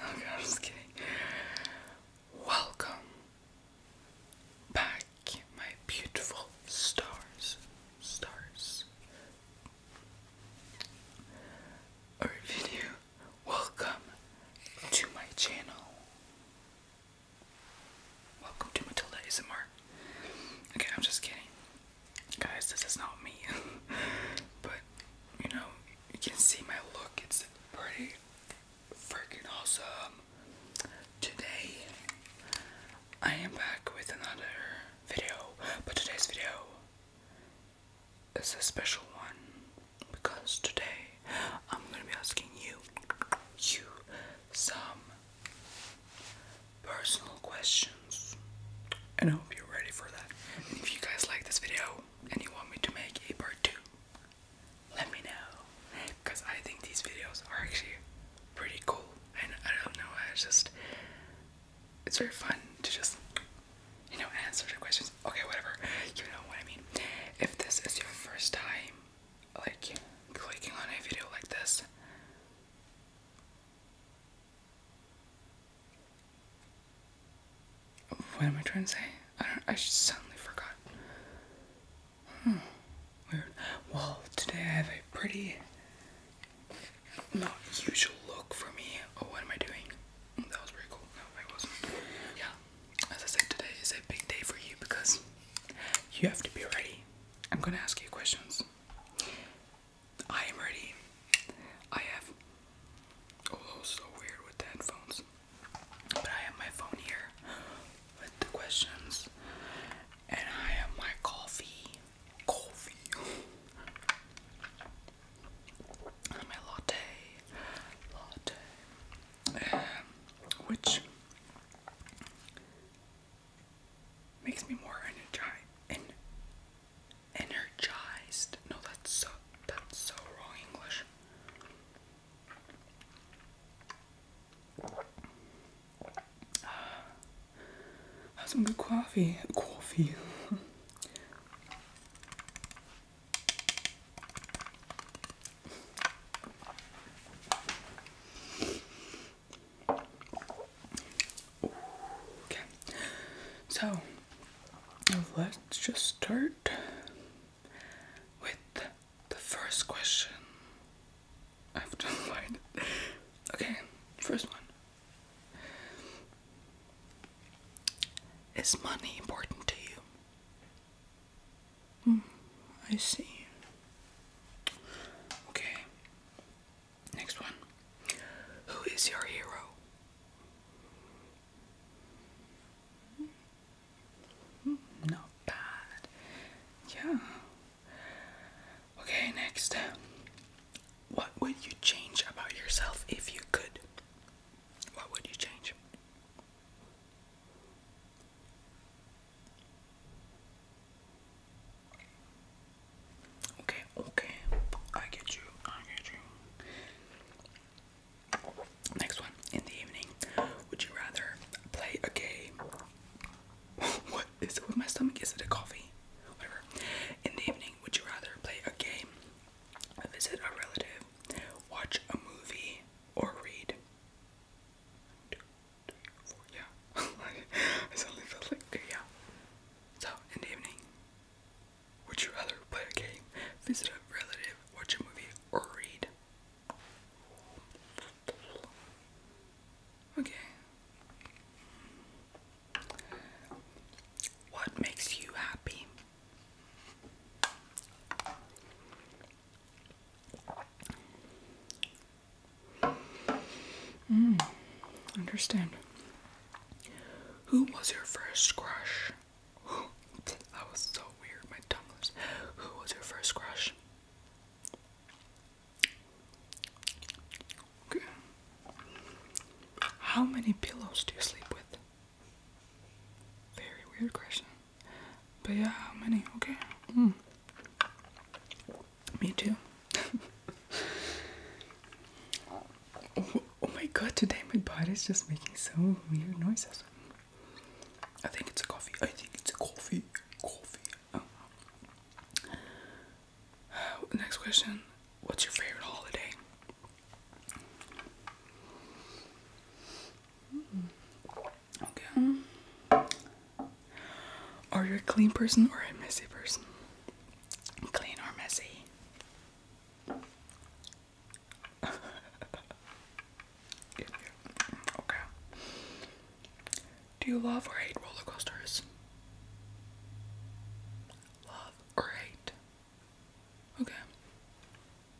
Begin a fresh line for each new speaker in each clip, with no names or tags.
Oh god, I'm just kidding. Welcome back, my beautiful stars. Stars. Alright, video. Welcome to my channel. Welcome to Matilda ASMR. Okay, I'm just kidding. Guys, this is not me. but, you know, you can see my look. It's pretty freaking awesome. Today, I am back with another video. But today's video is a special one because today I'm gonna be asking you, you, some personal questions, and I hope you're ready for that. if you guys like this video and you want me to make a part two, let me know, because I think these videos are actually pretty cool, and I don't know, it's just it's very fun to just you know answer the questions okay, whatever. You know what I mean. If this is your first time like clicking on a video like this, what am I trying to say? I do I suddenly forgot. Hmm. Weird. Well, today I have a pretty not usual look for me. Oh, what am I doing? That was pretty cool. No, I wasn't. Yeah as I said, today is a big day for you because you have to be ready. I'm gonna ask you questions. I am ready. I have. Oh, so weird with the headphones. But I have my phone here with the questions, and I have my coffee. Coffee. And my latte. Latte which makes me more energized. No, that's so that's so wrong English. have some good coffee. Coffee. Okay, so let's just start with the first question. I Okay, first one. Is money important to you? Hmm, I see. Okay. Next one. Who is your hero? Hmm, not bad. Yeah. Okay, next. What would you change about yourself if you could? What would you change? Okay, okay. I get you. I get you. Next one. In the evening, would you rather play a game? what is with my stomach? Is it a coffee? Whatever. In the evening, would you rather play a game, visit a relative, watch a movie, or read? two, three, four, yeah. I suddenly felt like, yeah. So, in the evening, would you rather play a game, visit a relative, watch a movie, or read? Okay. What makes you happy? Hmm, understand. Who was your first crush? that was so weird. My tongue was. Who was your first crush? Okay. How many pillows do you sleep with? Very weird question. But yeah, how many? Okay. Hmm. Me too. oh, my god, today my body's just making so weird noises. I think it's a coffee. I think it's a coffee. Coffee. Oh. next question. What's your favorite holiday? Hmm. Okay. Are you a clean person or a messy person? Clean or messy? Okay. Do you love or hate roller coasters? Love or hate? Okay.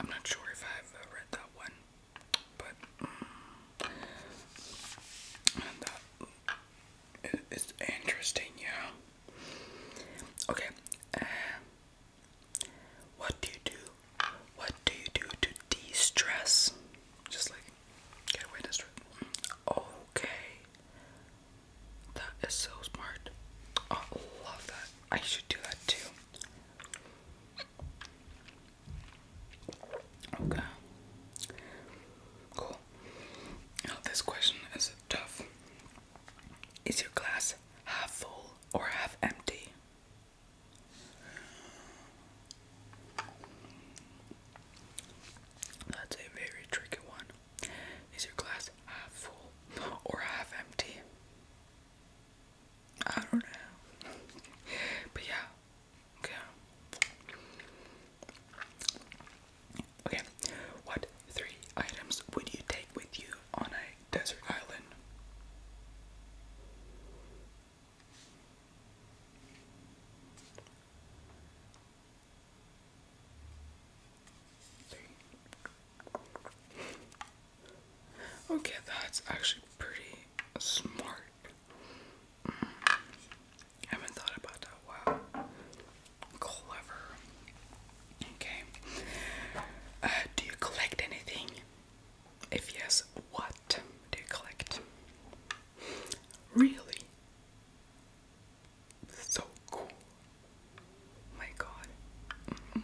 I'm not sure if I've uh, read that one, but mm, mm, it's interesting, yeah. Okay, uh, what do you do? What do you do to de-stress? Just like get away this. Okay, that is so smart. Oh, I love that. I should do that too. Okay. Cool. Now, this question is tough. Is your glass half full or half empty? That's a very tricky one. Is your glass half full or half empty? I don't know. but yeah. Okay. Okay. What three items would you take with you on a desert island? Okay, that's actually pretty smart. Mm. haven't thought about that. Wow. Clever. Okay. Uh, do you collect anything? If yes, what do you collect? Really? so cool. My God. Mm-hmm.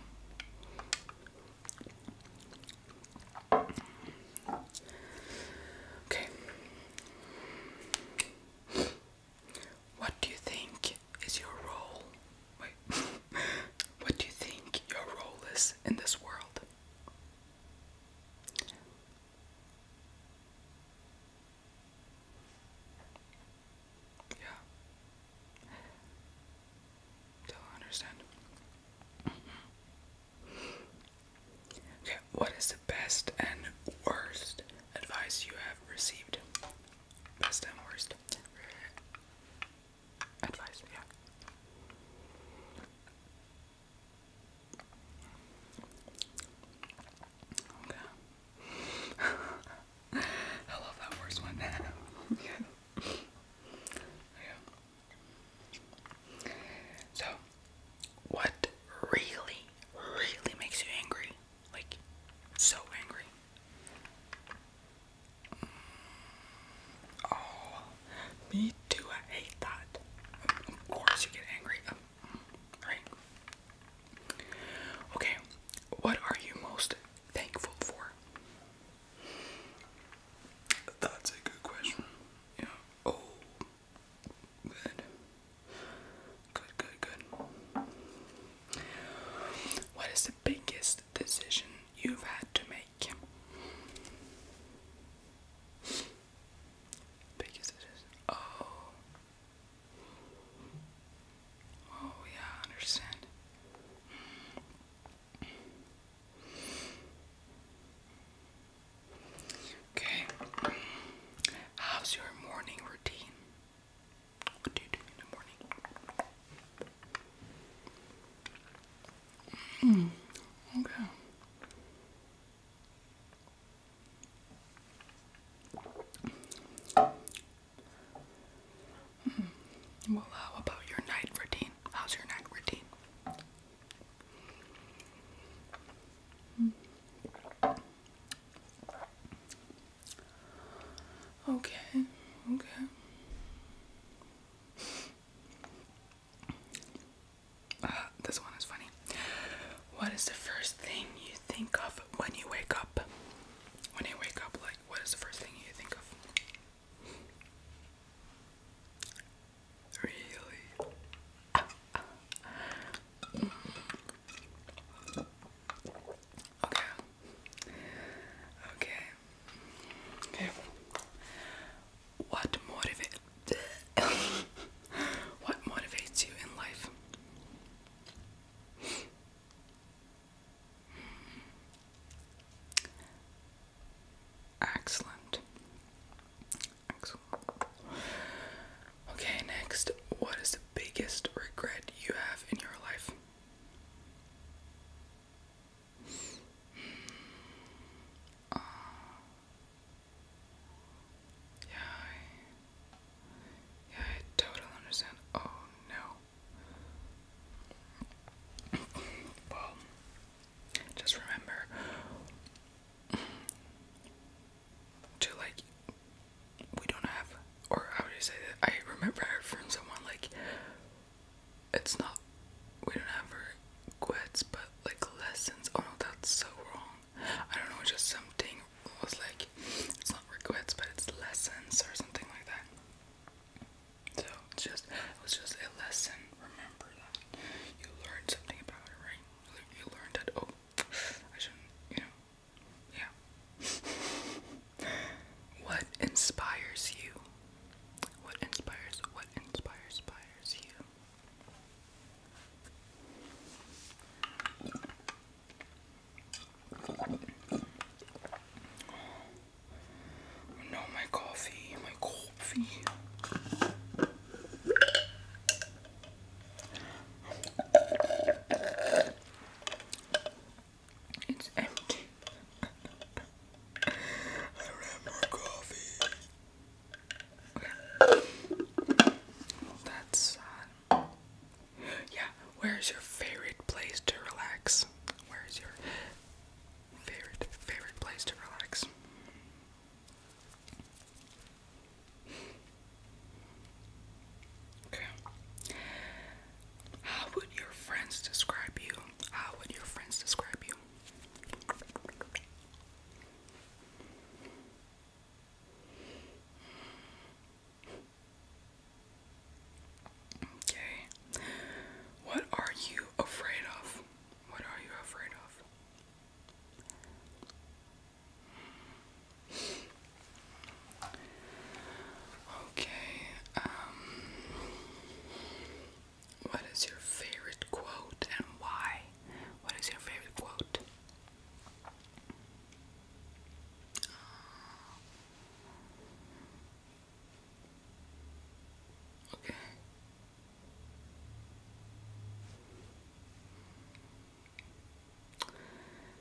Okay. What do you think is your role? Wait. what do you think your role is in this world? Yeah. So I understand. okay, what is the best and worst advice you have received? Best and worst advice, yeah. Okay. I love that first one. yeah. yeah. So, what really, really makes you angry? Like, so angry. Mm. Oh, me too. I hate that. Of course, you get angry. Right? Okay, what are you most thankful for? That's a good question. Yeah. Oh. Good. Good, good, good. What is the biggest decision you've had to make? Biggest decision. Oh. Oh, yeah, understand. Okay. How's your morning routine? What do you do in the morning? Mm, okay. Hmm. Well, how about your night routine? How's your night routine? Hmm. Okay, okay. Uh, this one is funny. What is the first thing you think of when you wake up? When you wake up, like, what is the first thing you think of? Really? Okay. Okay. Okay. What motivate what motivates you in life? Excellent. Okay, next, what is the biggest regret you have in your life? Hmm. Uh, yeah, yeah, I totally understand. Oh no. well, just remember to like, we don't have, or how do you say that? I remember heard from someone like, it's not, we don't have regrets, but like lessons. Oh no, that's so wrong. I don't know, it's just something was like it's not regrets but it's lessons or something like that. So it's just it was just a lesson. Remember that. You learned something about it, right? You learned that oh I shouldn't you know yeah. what inspires you? What inspires what inspires inspires you? No, my coffee, my coffee. It's empty. I don't have coffee. that's sad. Yeah, where is your favorite place to relax? Where is your favorite, favorite place to relax? Okay. How would your friends describe you? How would your friends describe you? Okay. What are you afraid of? What are you afraid of? Okay. Um, what is your favorite quote and why? What is your favorite quote? Okay.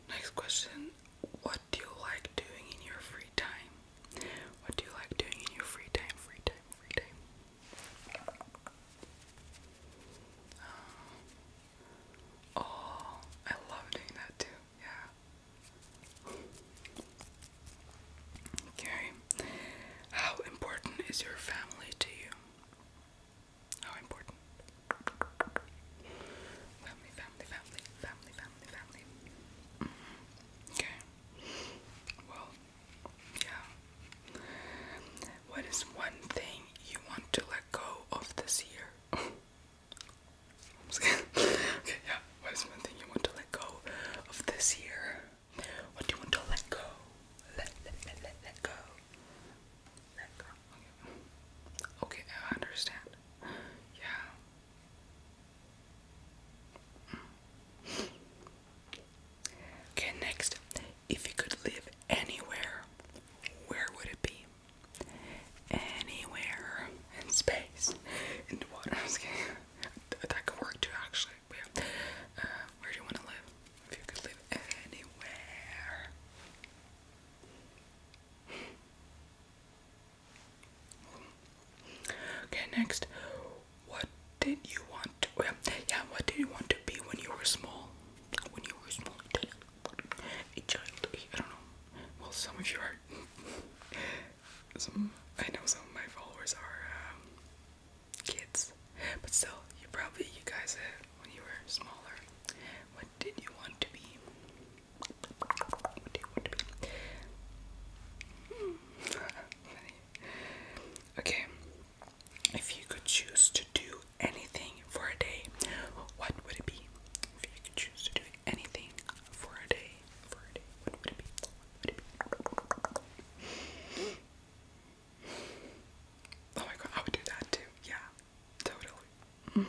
Next question. What do you like doing in your free time? What do you like doing in your free time? Free time, free time. Oh, I love doing that too. Yeah. Okay. How important is your family to you? How important? Family, family, family, family, family, family. Mm-hmm. Okay. Well, yeah. What is one thing you want to let go of this year? okay, yeah. What is one thing you want to let go of this year? What do you want to let go? Let let let let go. Let go. Okay. Okay, I understand. Yeah. Okay, next, if you could live anywhere, where would it be? anywhere in space, in the water. That, could work too, actually. Uh, where do you want to live? If you could live anywhere. Okay, next. What did you want oh, yeah, yeah, what did you want to be when you were small? When you were small, a I don't know, well some of you are, some, I know some of my followers are um, kids, but still, you probably, you guys, uh, when you were smaller, what did you want to be? What do you want to be? Hmm. okay, if you could choose to do anything for a day, what would it be? If you could choose to do anything for a day, for a day, what would it be? Oh my god, I would do that too. Yeah, totally.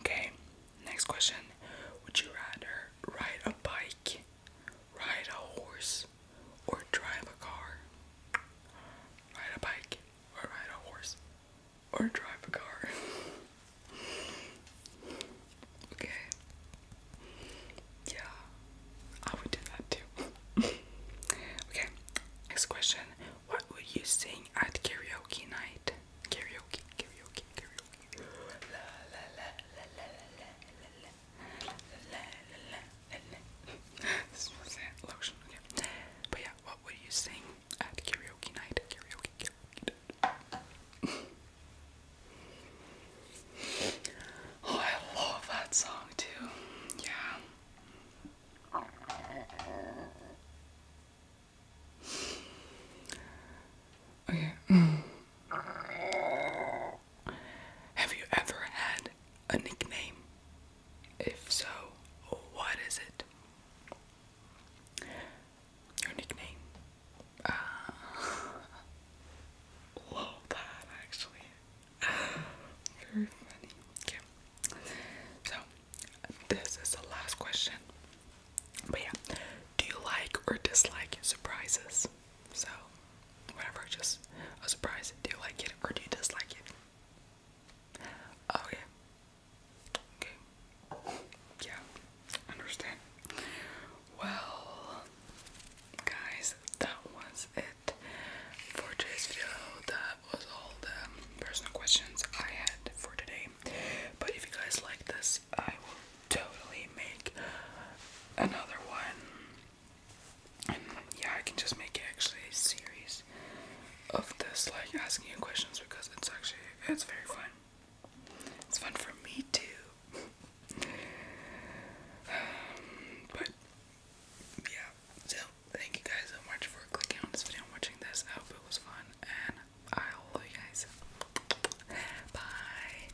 Okay, next question. Would you rather ride a bike, ride a horse, or drive a car? Ride a bike or ride a horse? or drive a car. okay. Yeah, I would do that too. okay, next question. What would you sing at karaoke night? Karaoke, karaoke, karaoke. La la la la la la la la la la la la la. This was it, lotion. Okay. But yeah, what would you sing at karaoke night. Karaoke, karaoke night. oh, I love that song too. Yeah. Okay. Have you ever had a nickname? If so, what is it? Your nickname. Uh, love that actually. Very funny. Okay. So this is the last question. But yeah, do you like or dislike surprises? So whatever, just a surprise. Do you like it or do you dislike it? Okay. Oh, Okay. Yeah, understand. Well, guys, that was it for today's video. That was all the personal questions I had for today. But if you guys like this, I will totally make another one. And yeah, I can just make it actually a series of this, like asking you questions because it's actually it's very fun. It's fun for me too. but yeah, so thank you guys so much for clicking on this video and watching this. I hope it was fun, and I love you guys. Bye.